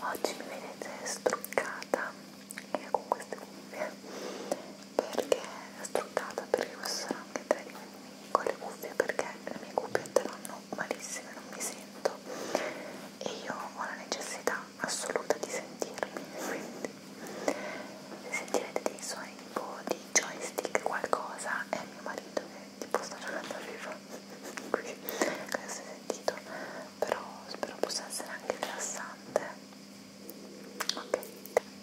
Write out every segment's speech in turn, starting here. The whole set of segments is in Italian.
oggi mi vedete struccata e con queste cuffie perché struccata perché questo sarà anche tre di con le cuffie perché le mie cuffiette vanno malissime non mi sento e io ho la necessità assoluta di sentirmi quindi se sentirete dei suoni tipo di joystick qualcosa è mio marito che tipo sta giocando a vivo qui che ho sentito però spero possa essere anche rilassante ok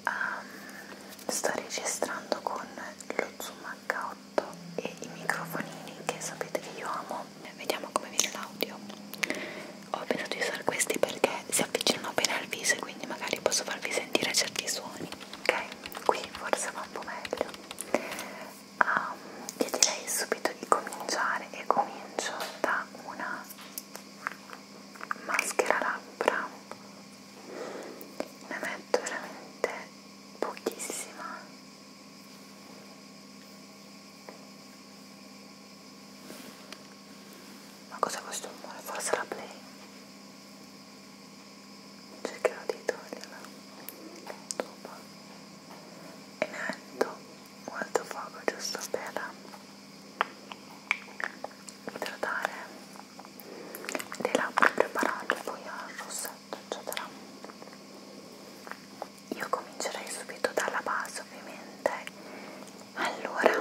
um, sto registrando con lo zoom h8 e i microfonini che sapete che io amo vediamo come viene l'audio ho pensato di usare questi perché si avvicinano bene al viso e quindi magari posso farvi sentire certi suoni ok qui forse va un po' meglio um, io direi subito di cominciare e comincio da una maschera labbra ne metto veramente pochissima ma cos'è questo rumore? forse la play? cercherò di toglierla dopo e metto molto fuoco giusto per idratare le labbra preparate poi al rossetto eccetera io comincerei subito dalla base ovviamente allora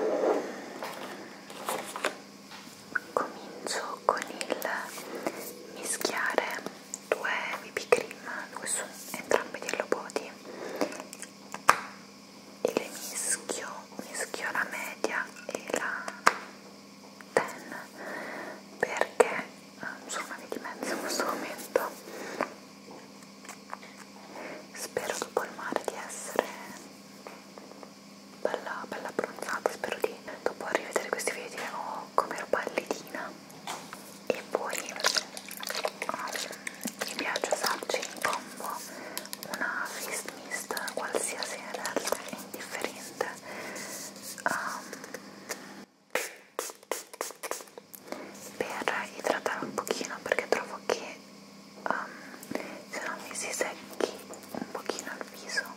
comincio con il mischiare due BB cream che sono entrambi di Hello Body e le mischio mischio la media e la ten perché eh, sono una via di mezzo in questo momento spero dopo il mare di essere bella bella abbronzata spero di dopo rivedere questi video oh, come ero pallidina e poi um, mi piace usarci in combo una fist mist qualsiasi ed altra è indifferente um, per idratare un pochino perché trovo che um, se no mi si secchi un pochino il viso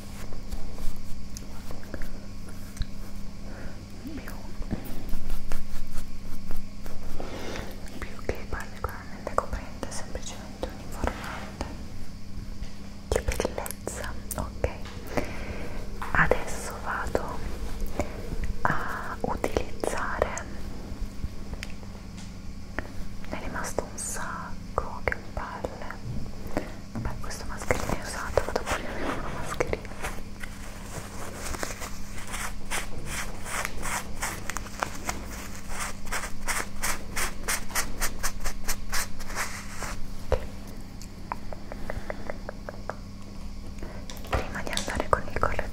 più, più che particolarmente coprente, semplicemente uniformante che bellezza, ok adesso vado a utilizzare ne è rimasto un sacco bianco, che palle vabbè questo mascherino è usato, vado a pulire con una mascherina prima di andare con il correttore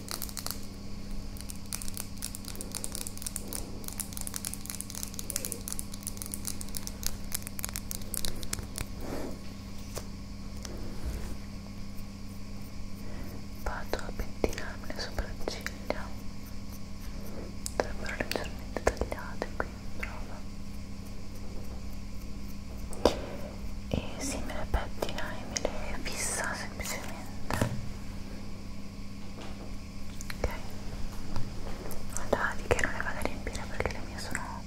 Vado a pettinarmi le sopracciglia, dovrebbero leggermente tagliate qui in prova. E si me le pettina e me le fissa semplicemente direttamente ok guardate che non le vado a riempire perché le mie sono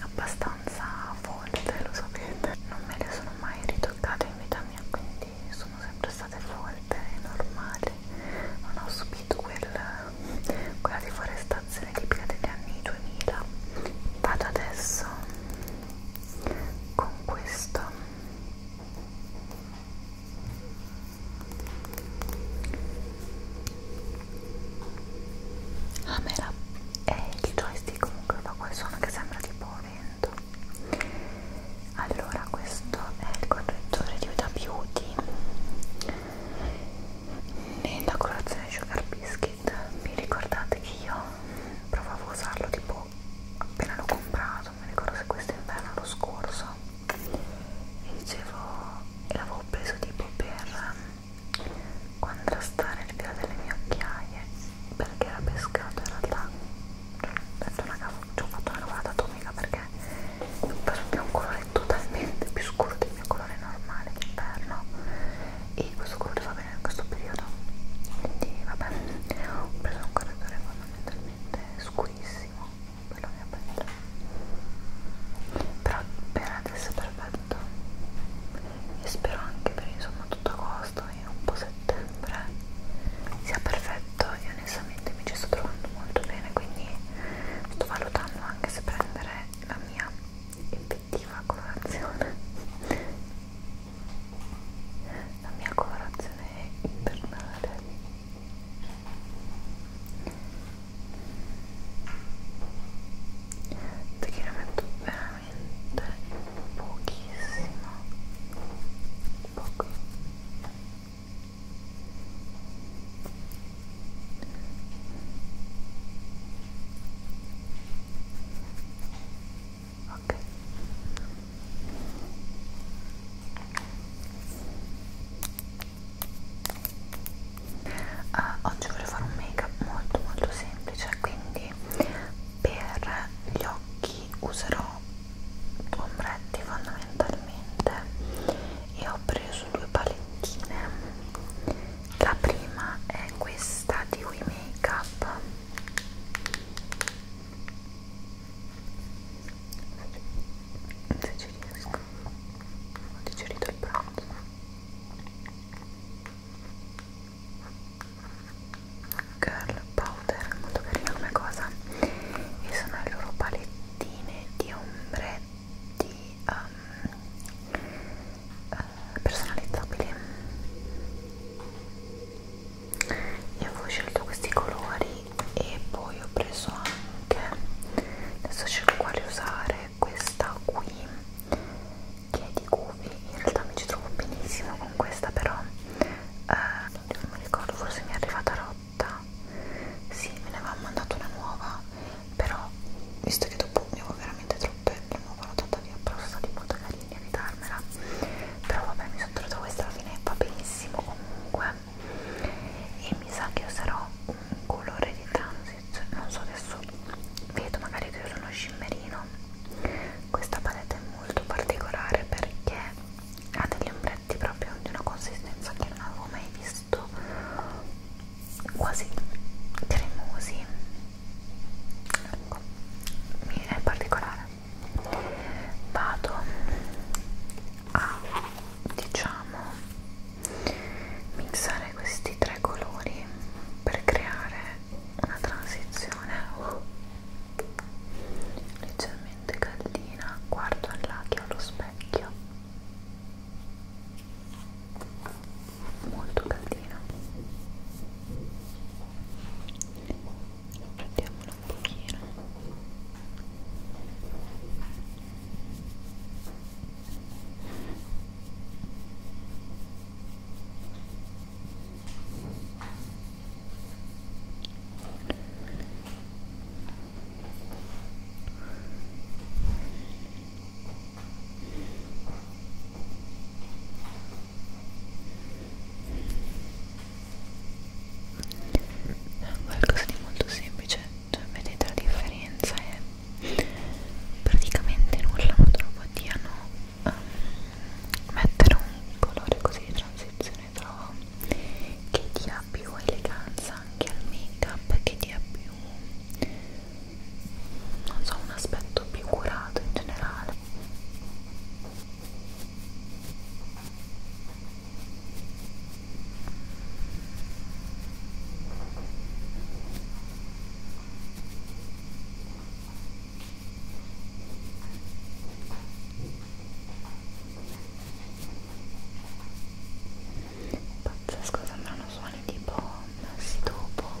abbastanza folte lo sapete non me le sono mai ritoccate in vita mia quindi sono sempre state folte normali non ho subito quel, quella deforestazione tipica degli anni 2000 vado adesso con questo Ah, me la... eh, il joystick comunque fa quel suono che sembra tipo vento allora questo è il correttore di Huda Beauty nella colorazione Sugar Biscuit vi ricordate che io provavo a usarlo tipo appena l'ho comprato non mi ricordo se questo inverno l'anno scorso e dicevo e l'avevo preso tipo per contrastare il filo delle mie occhiaie perché era pescato in realtà detto una ci ho fatto una lavata atomica perché ho preso un colore totalmente più scuro del mio colore normale d'inverno e questo colore va bene questo periodo quindi vabbè ho preso un correttore fondamentalmente scurissimo quello che ho preso però per adesso è perfetto e spero anche per insomma tutto agosto e un po' settembre sia perfetto e onestamente mi ci sto trovando molto bene quindi sto valutando anche se prendere la mia effettiva colorazione la mia colorazione è invernale perché ne metto veramente pochissimo poco ok uh, oggi voglio fare un make up molto molto semplice quindi per gli occhi userò ombretti fondamentalmente e ho preso due palettine la prima è questa di We Makeup se ci riesco ho digerito il pranzo Girl Powder, molto carina come cosa e sono le loro palettine di ombretti um, uh, personalizzabili io avevo scelto questi colori e poi ho preso anche adesso scelgo quale usare questa qui che è di Guvi in realtà mi ci trovo benissimo con questa però eh, non mi ricordo forse mi è arrivata rotta sì me ne aveva mandato una nuova però visto che dopo ne avevo veramente troppe la nuova l'ho data via però è stata molto carina di evitarmela però vabbè mi sono trovata questa alla fine va benissimo comunque e mi sa che userò un colore di transit non so adesso vedo magari che uso uno shimmerino questa palette è molto particolare perché ha degli ombretti proprio di una consistenza che non avevo mai visto quasi cremosi ecco, è particolare vado a diciamo mixare questi tre colori per creare una transizione oh, leggermente caldina guardo là che ho lo specchio molto caldina prendiamola un pochino ok è qualcosa di molto semplice cioè vedete la differenza è praticamente nulla ma troppo diano um, ehm, mettere un colore così di transizione trovo che dia più eleganza anche al make up che dia più non so un aspetto più curato in generale Pazzesco, sembrano suoni tipo un dopo.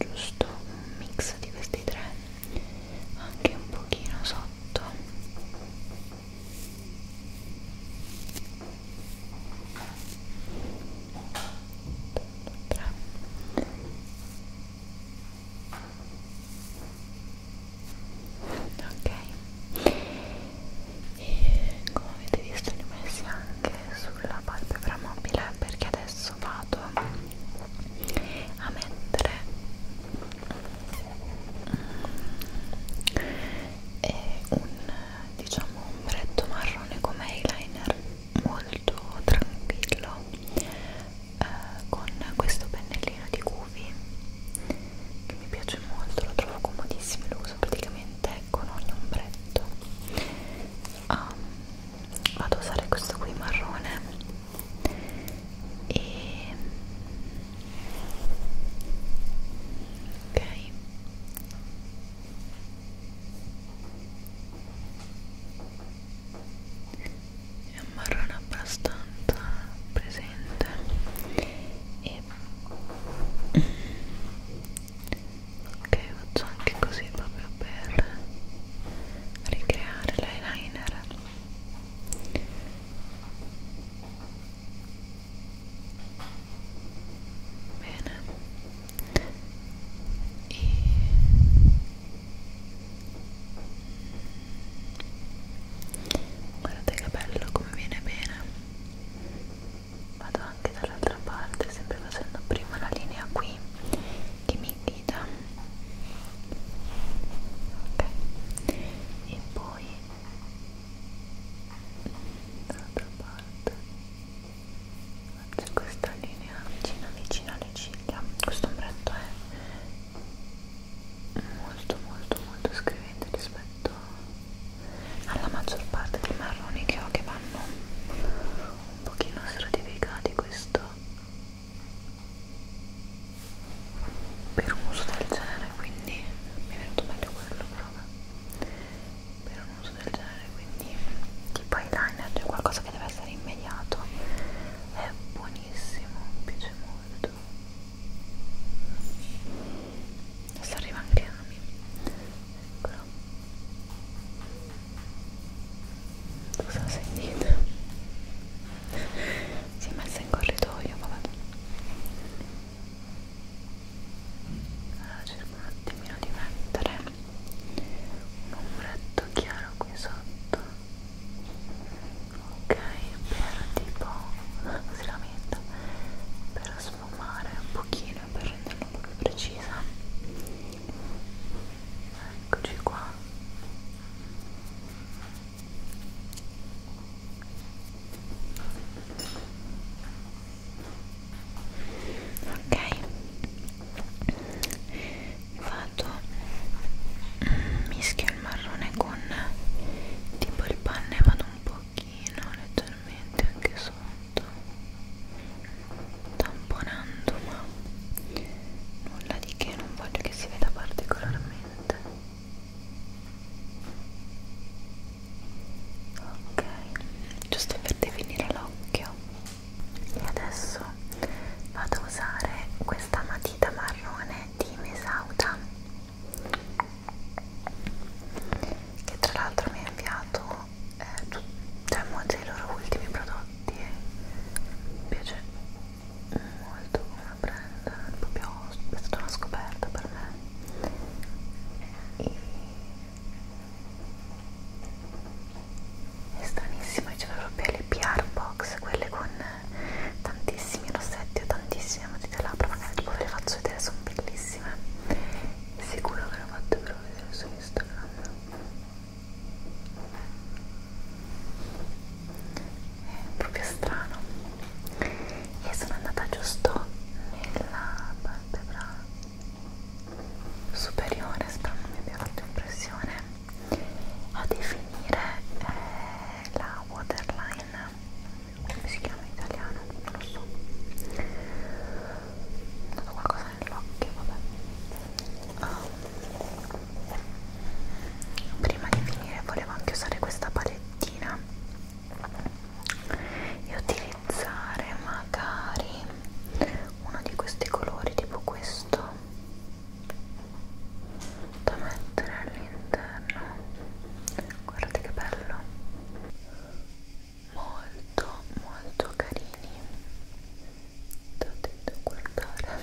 giusto un mix di questi tre anche un pochino sotto tre. ok e come avete visto li ho messi anche sulla palpebra mobile perché adesso vado a mettere mm, un diciamo ombretto marrone come eyeliner molto tranquillo eh, con questo pennellino di Guvi che mi piace molto, lo trovo comodissimo lo uso praticamente con ogni ombretto ah, vado a usare questo qui marrone e ok è un marrone abbastanza presente e ok faccio anche così proprio per ricreare l'eyeliner eyeliner bene e guardate che bello come viene bene vado anche dall'altra parte sempre facendo prima la linea qui dimmi dita ok e poi dall'altra parte faccio questa linea vicina vicino alle ciglia questo ombretto è molto molto molto scrivente rispetto alla maggior parte dei marroni che ho che vanno un pochino stratificati questo per un uso del genere quindi mi è venuto meglio quello però per un uso del genere quindi tipo eyeliner cioè qualcosa che deve essere immediato è buonissimo mi piace molto adesso arriva anche Ami eccolo non so sentite si è messa in corridoio vabbè allora cerco un attimino di mettere un ombretto chiaro qui sotto ok per tipo così la metto per sfumare un pochino per renderla un po' più precisa eccoci qua ok vado mm, mischio il marrone con tipo il panne vado un pochino leggermente anche sotto tamponando ma nulla di che non voglio che si veda particolarmente ok giusto per definire l'occhio e adesso vado a usare questa matita marrone di Mesauta che tra l'altro mi ha inviato eh, cioè molti dei loro ultimi prodotti e eh. mi piace molto come la prenda, proprio è stata una scoperta per me e è stranissimo, c'è proprio le PR box, quelle con tantissimi rossetti o tantissime matite labbra, magari dopo ve le faccio vedere, sono bellissime sicuro che le ho fatte però vedere su Instagram è proprio strano e sono andata giusto nella palpebra superiore spero non mi abbia fatto impressione a definire eh, la waterline come si chiama in italiano non lo so ho dato qualcosa nell'occhio vabbè um, prima di finire volevo anche usare questa palettina e utilizzare magari uno di questi colori tipo questo da mettere all'interno guardate che bello molto molto carini dovete guardare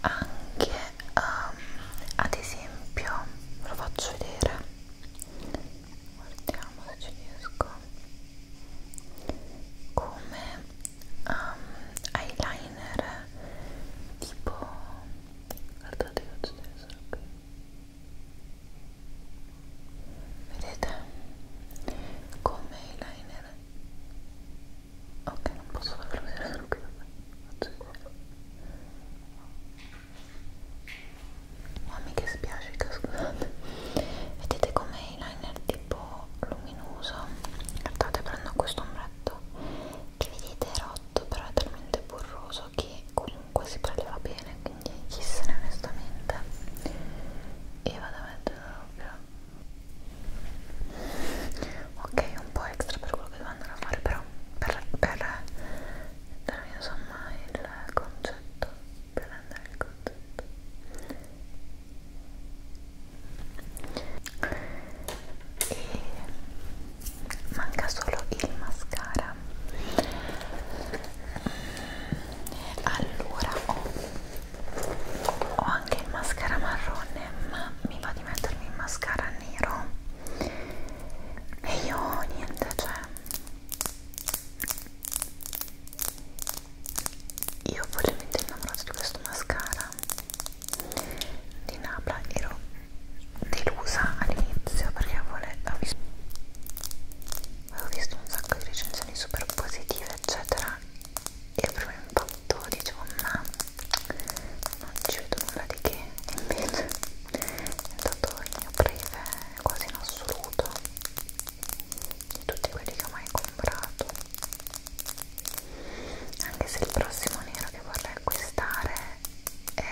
anche um, ad esempio ve lo faccio vedere guardiamo se ci riesco come um, eyeliner tipo guardate faccio solo qui vedete come eyeliner ok non posso farlo vedere solo qui vabbè faccio vedere mamma che spiacica scusate vedete come eyeliner tipo luminoso guardate prendo questo ombretto che vedete è rotto però è talmente burroso che comunque si preleva bene quindi chi se ne onestamente e vado a mettere proprio ok un po' extra per quello che devo andare a fare però per, per darvi insomma il concetto per andare il concetto e manca solo il mascara allora ho ho anche il mascara marrone ma mi va di mettermi il mascara nero e io niente cioè io follemente innamorato di questo mascara di Napla ero delusa all'inizio perché avevo visto, avevo visto un sacco di recensioni super positive eccetera il primo impatto dicevo ma non ci vedo nulla di che invece è stato il mio breve quasi in assoluto di tutti quelli che ho mai comprato anche se il prossimo nero che vorrei acquistare è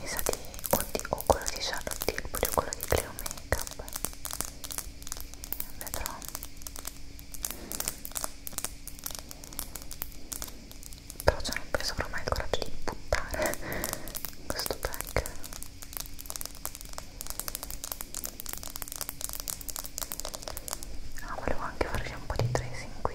mi sa di o, di, o quello di Charlotte Tilbury o quello di Cleo Makeup vedrò però cioè non penso avrò mai il coraggio di buttare questo pack ah volevo anche farci un po' di tracing qui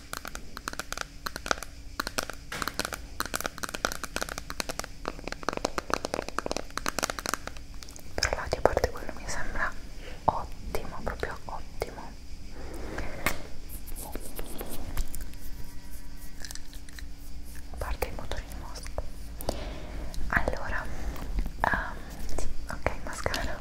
per l'audio a parte quello mi sembra ottimo proprio ottimo a parte il motorino mosca allora um, sì, ok mascara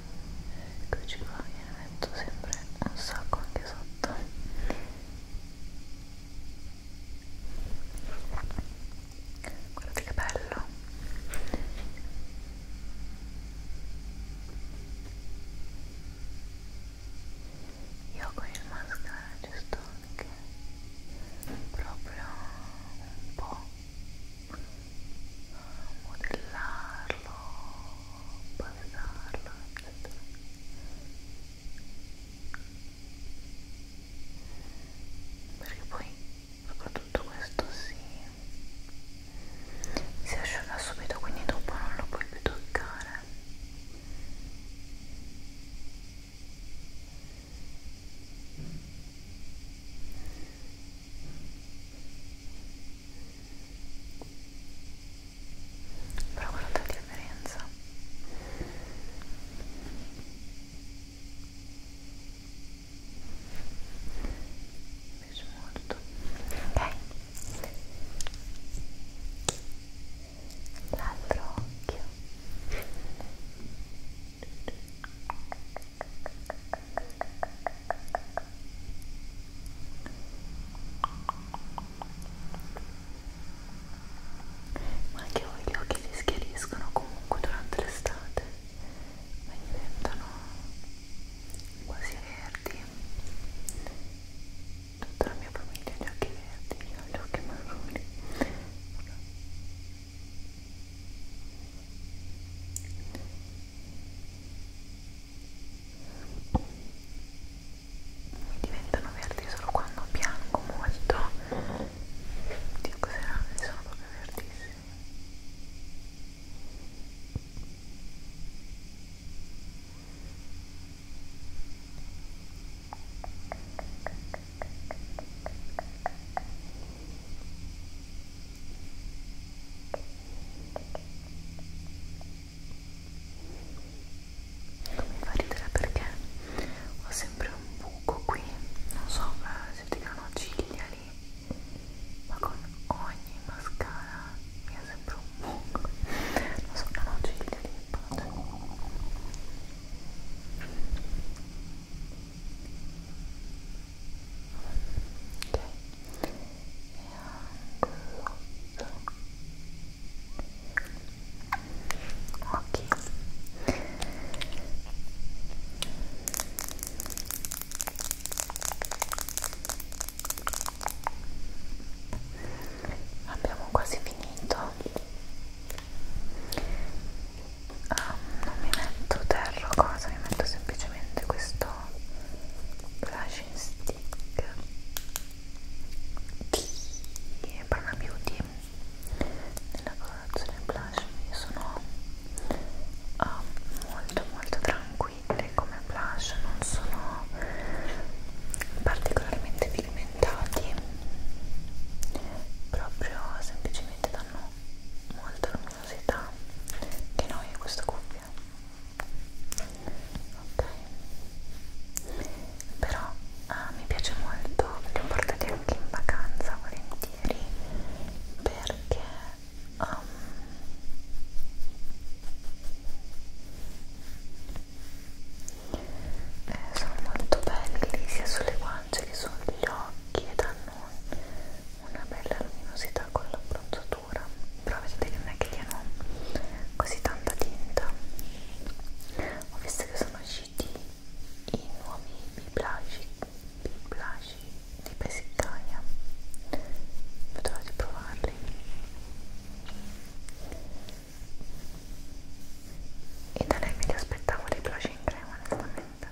eccoci qua io ne metto sempre un sacco anche sotto guardate che bello io con il mascara ci sto anche proprio un po' modellarlo, palesarlo, eccetera. Perché poi soprattutto questo si, si asciuga subito, quindi dopo non lo puoi più toccare. Ecco, però guarda la differenza mi piace molto ok l'altro occhio ma anche voi gli occhi si schiariscono comunque durante l'estate e diventano quasi verdi tutta la mia famiglia ha gli occhi verdi io ho gli occhi marroni diventano verdi solo quando bianco molto Dio cos'era? sono proprio verdissimi Ecco non mi fa ridere perché ho sempre un buco qui, non so se ti creano ciglia lì, ma con ogni mascara mi è sempre un buco. Non so, non ho ciglia lì, però abbiamo quasi finito ah, non mi metto terra cosa mi metto semplicemente questo Blushing Stick di Prana Beauty nella colorazione blush sono uh, molto molto tranquille come blush non sono particolarmente pigmentati proprio semplicemente danno molta luminosità che noi a questa cuffia ok però uh, mi piace molto li ho portati anche in vacanza volentieri perché um, eh, sono molto belli sia sulle guance che sugli occhi e danno un, una bella luminosità con l'abbronzatura però vedete che non è che diano così tanta tinta ho visto che sono usciti i nuovi biblagi di Pesiccaia vedrò di provarli e da lei mi aspettavo dei blush in crema onestamente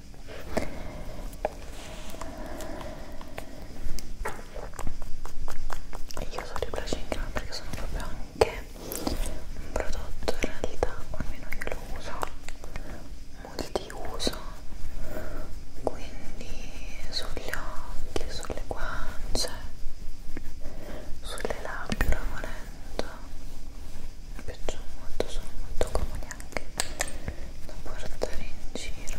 e io uso Replacing perché sono proprio anche un prodotto in realtà almeno io lo uso multiuso quindi sugli occhi, sulle guance sulle labbra volendo mi piacciono molto, sono molto comodi anche da portare in giro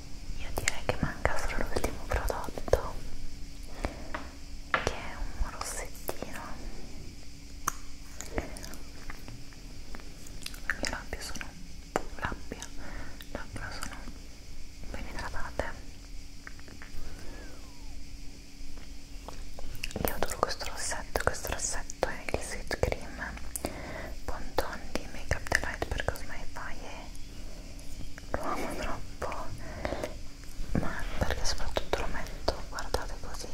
io direi che manca solo l'ultimo prodotto che è un rossettino le mie labbra sono labbia labbra sono ben idratate io adoro questo rossetto questo rossetto è il Sweet Cream Ponton di Makeup Delight per Cosmetics lo amo troppo ma perché soprattutto lo metto guardate così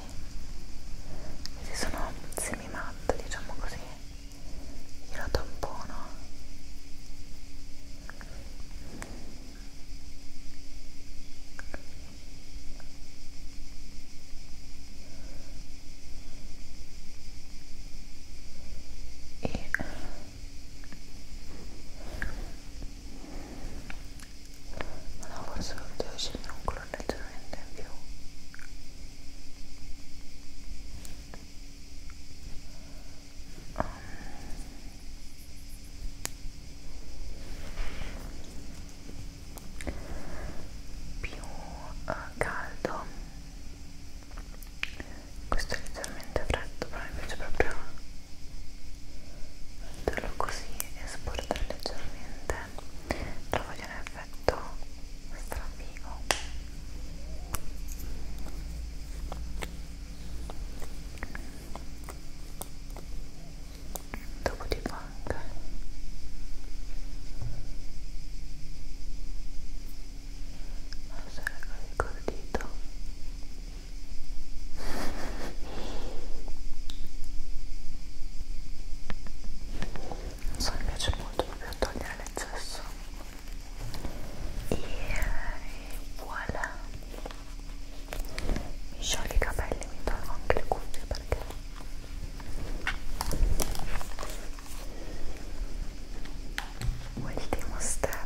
questi sono semi matte diciamo così io lo tampono e no forse devo scegliere un colore leggermente in più um. più uh, caldo questo è leggermente freddo però mi piace proprio metterlo così e sportare leggermente lo voglio un effetto strafigo dopo di anche lasciare con il dito non so, mi piace molto proprio togliere l'eccesso e, e voilà mi scioglie i capelli, mi tolgo anche le cuffie perché ultimo step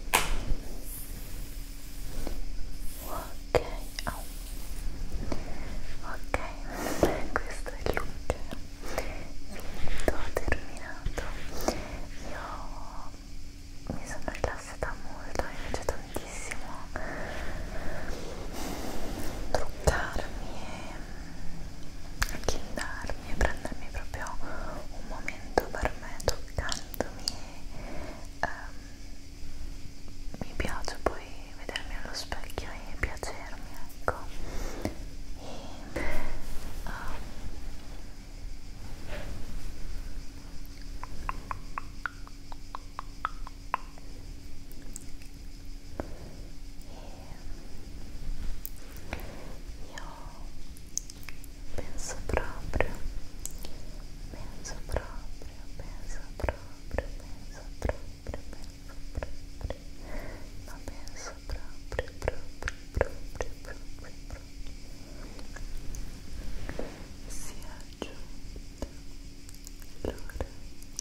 ok oh. ok questo è il look finito terminato io mi sono rilassata molto mi piace tantissimo truccarmi e chiudarmi e prendermi proprio un momento per me toccandomi e um, mi piace poi vedermi allo specchio e piacermi ecco e, um, ehm, e io penso proprio, penso proprio, penso proprio, penso proprio, penso proprio, ma penso proprio, proprio, proprio, proprio, proprio. Si è aggiunta l'ora di